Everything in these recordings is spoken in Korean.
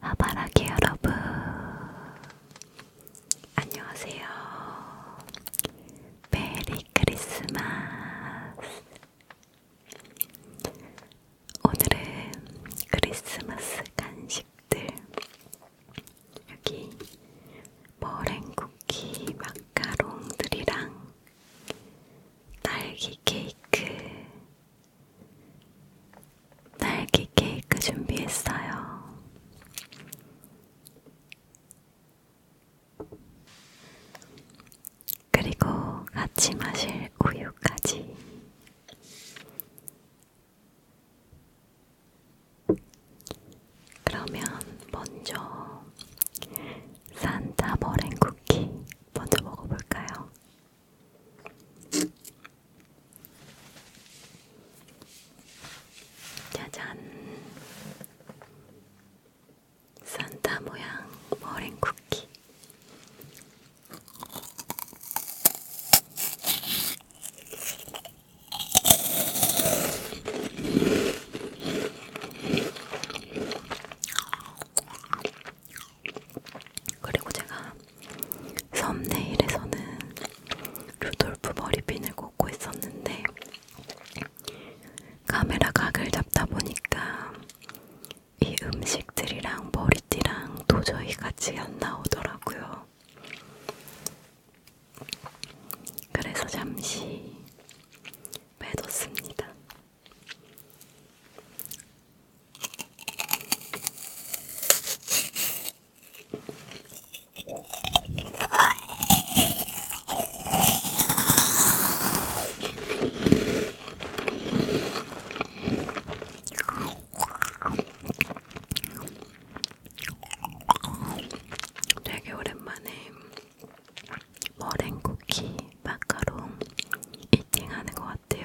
하바라기 아, 여러분 안녕하세요 메리 크리스마스 오늘은 크리스마스 간식들 여기 머랭쿠키 마카롱들이랑 딸기 케이크 딸기 케이크 준비했어요. 그리고 같이 마실 우유까지. 그러면 먼저 산타버랭 쿠키 먼저 먹어볼까요? 짜잔 산타 모양 머랭 쿠키 그리고 제가 썸네일에서는 루돌프 머리핀을 꽂고 있었는데 카메라 각을 잡다 보니까 이 음식들이랑 머리띠랑 도저히 같이 안 나오더라고요. 그래서 잠시 빼뒀습니다. 되게 오랜만에 머랭 쿠키 마카롱 이팅하는 것 같아요.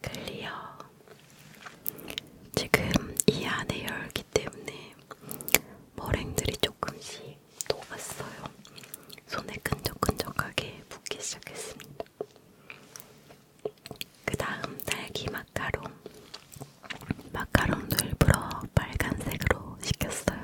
클리어. 지금 이 안에 열기 때문에 머랭들이 조금씩 녹았어요. 손에 끈적끈적하게 붓기 시작했습니다. 그 다음 딸기 마카롱. 마카롱도 일부러 빨간색으로 시켰어요.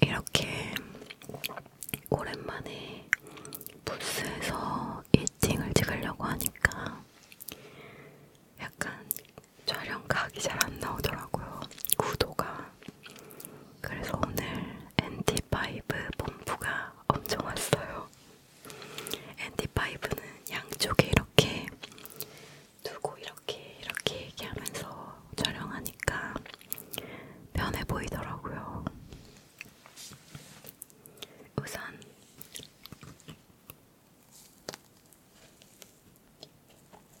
이렇게 오랜만에 부스에서 일팅을 찍으려고 하니까 약간 촬영 각이 잘안 나오더라고요. 구도가 그래서 오늘 NT5 본부가 엄청 왔어요. NT5는 양쪽에 이렇게 두고 이렇게 이렇게 얘기하면서 촬영하니까 편해 보이더라고요. 우선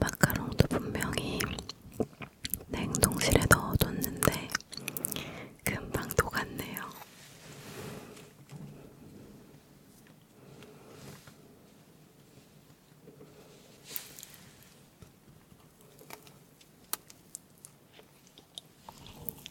마카롱도 분명히 냉동실에 넣어뒀는데 금방 녹았네요.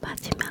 마지막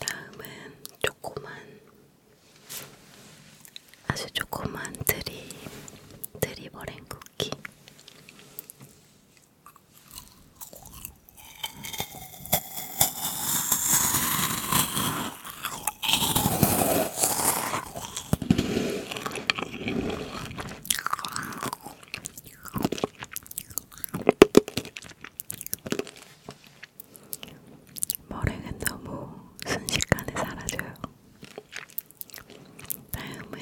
다음은 조그만 아주 조그만 드리 드리버랭 쿠키. 머랭은 너무 순식간에 사라져요. 다음은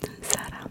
눈사람.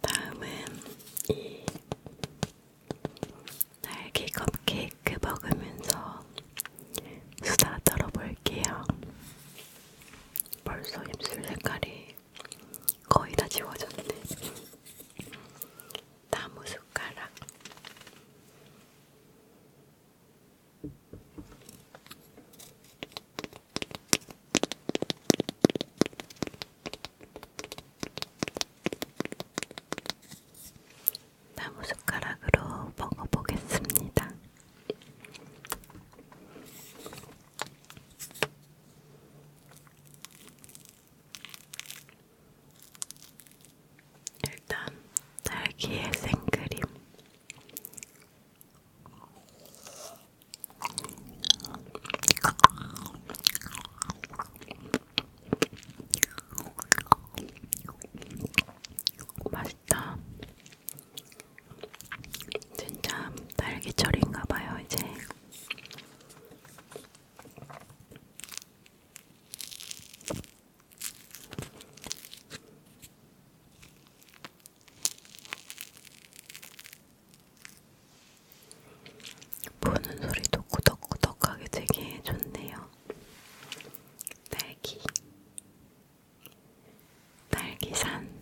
다음은 이 딸기 컵케이크 먹으면서 수다 떨어볼게요. 벌써 입술 색깔이 거의 다 지워졌네. 나무 숟가락. 나무숟가락으로 먹어보겠습니다. 일단 딸기의 생크림. 맛있다. 진짜 딸기철인가봐요, 이제. 보는 소리도 꾸덕꾸덕하게 되게 좋네요. 딸기, 딸기산.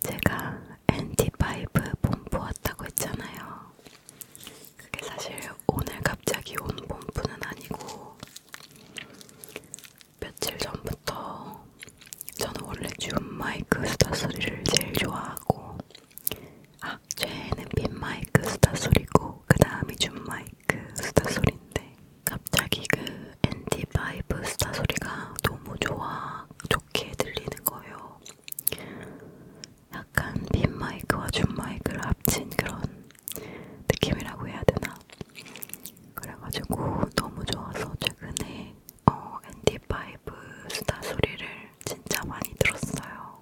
제가 NT5 본부왔다고 했잖아요. 그게 사실 오늘 갑자기 온 본부는 아니고 며칠 전부터 저는 원래 줌 마이크 수다 소리를 제일 좋아하고 아, 최애는 빈 마이크 수다 소리고 그 다음이 줌 마이크 수다 소리인데 갑자기 그 앤디 바이브 수다 소리가 너무 좋아 좋게 들리는 거예요. 약간 빈 마이크와 줌 마이크를 합친 그런 느낌이라고 해야 되나? 그래가지고 너무 좋아서 최근에 어, 앤디 바이브 수다 소리를 진짜 많이 들었어요.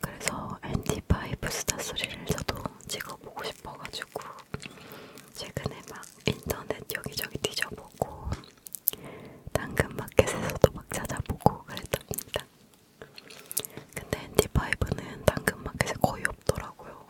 그래서 NT5 스타 소리를 저도 찍어보고 싶어가지고 최근에 막 인터넷 여기저기 뒤져보고 당근마켓에서도 막 찾아보고 그랬답니다. 근데 NT5는 당근마켓에 거의 없더라고요.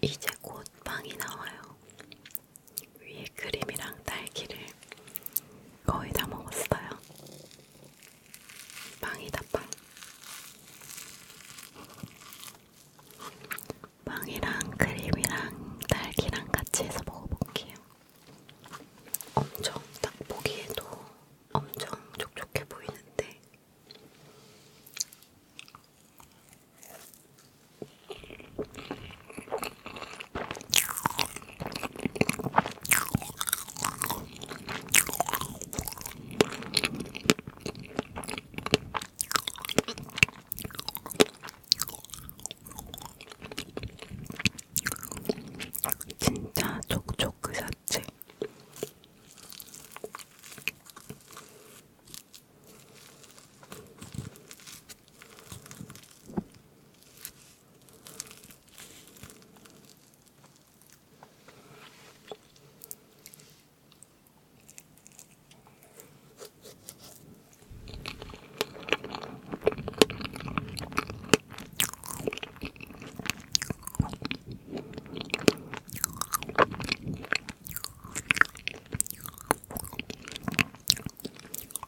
이제 곧 빵이 나와요. 위에 크림이랑 딸기를 거의 다 먹었어요. 빵이다 빵. 빵이랑 크림이랑 딸기랑 같이 해서 먹어볼게요. 엄청 딱 보기에도 엄청 촉촉해 보이는데 진짜 촉촉 그 자체.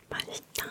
맛있다.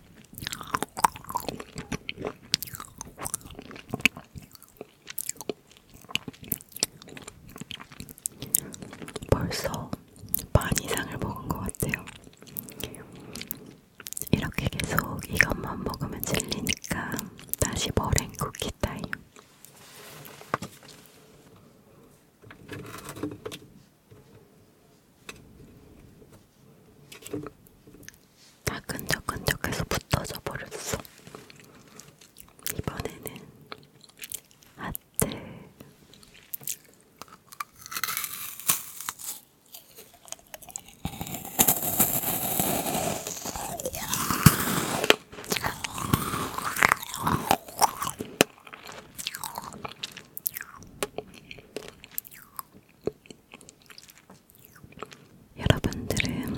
벌써 반 이상을 먹은 것 같아요. 이렇게 계속 이것만 먹으면 질리니까 다시 머랭 쿠키 타임. 다 끈적끈적해서 붙어져 버렸어. 이번에는 아트. 여러분들은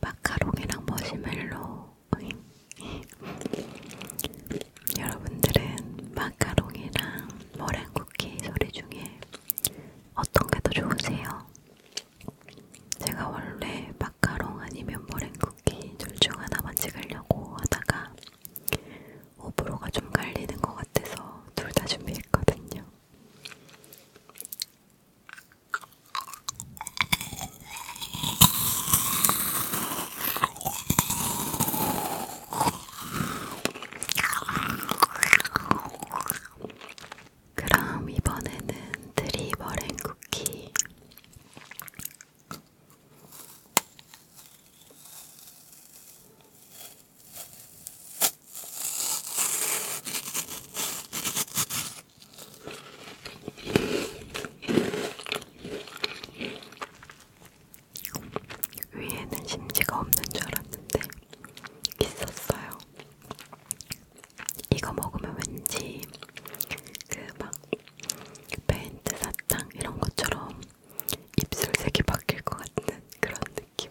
마카롱이랑 머시멜로 여러분들은 마카롱이랑 머랭쿠키 소리 중에 어떤 게 더 좋으세요? 제가 원래 마카롱 아니면 머랭쿠키 둘 중 하나만 찍으려고 하다가 호불호가 좀 갈리는 것 같아서 둘 다 준비했거든요. 그럼 이번에는 드리버랭 쿠키 위에는 심지가 없는 줄 알았는데 있었어요. 이거 먹으면 왠지 그막 페인트 사탕 이런 것처럼 입술색이 바뀔 것 같은 그런 느낌.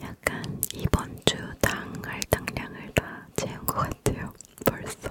약간 이번 주당 할당량을 다 채운 것 같아요. 벌써.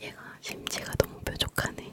얘가 심지가 너무 뾰족하네.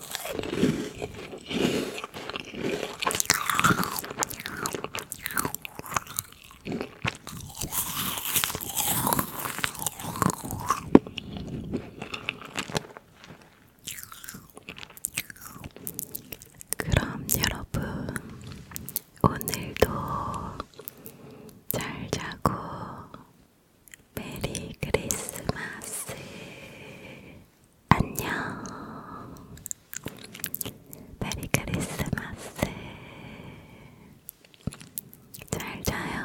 그럼 여러분, 오늘도 잘 자고 메리 크리스마스. 안녕. 메리 크리스마스. 잘 자요.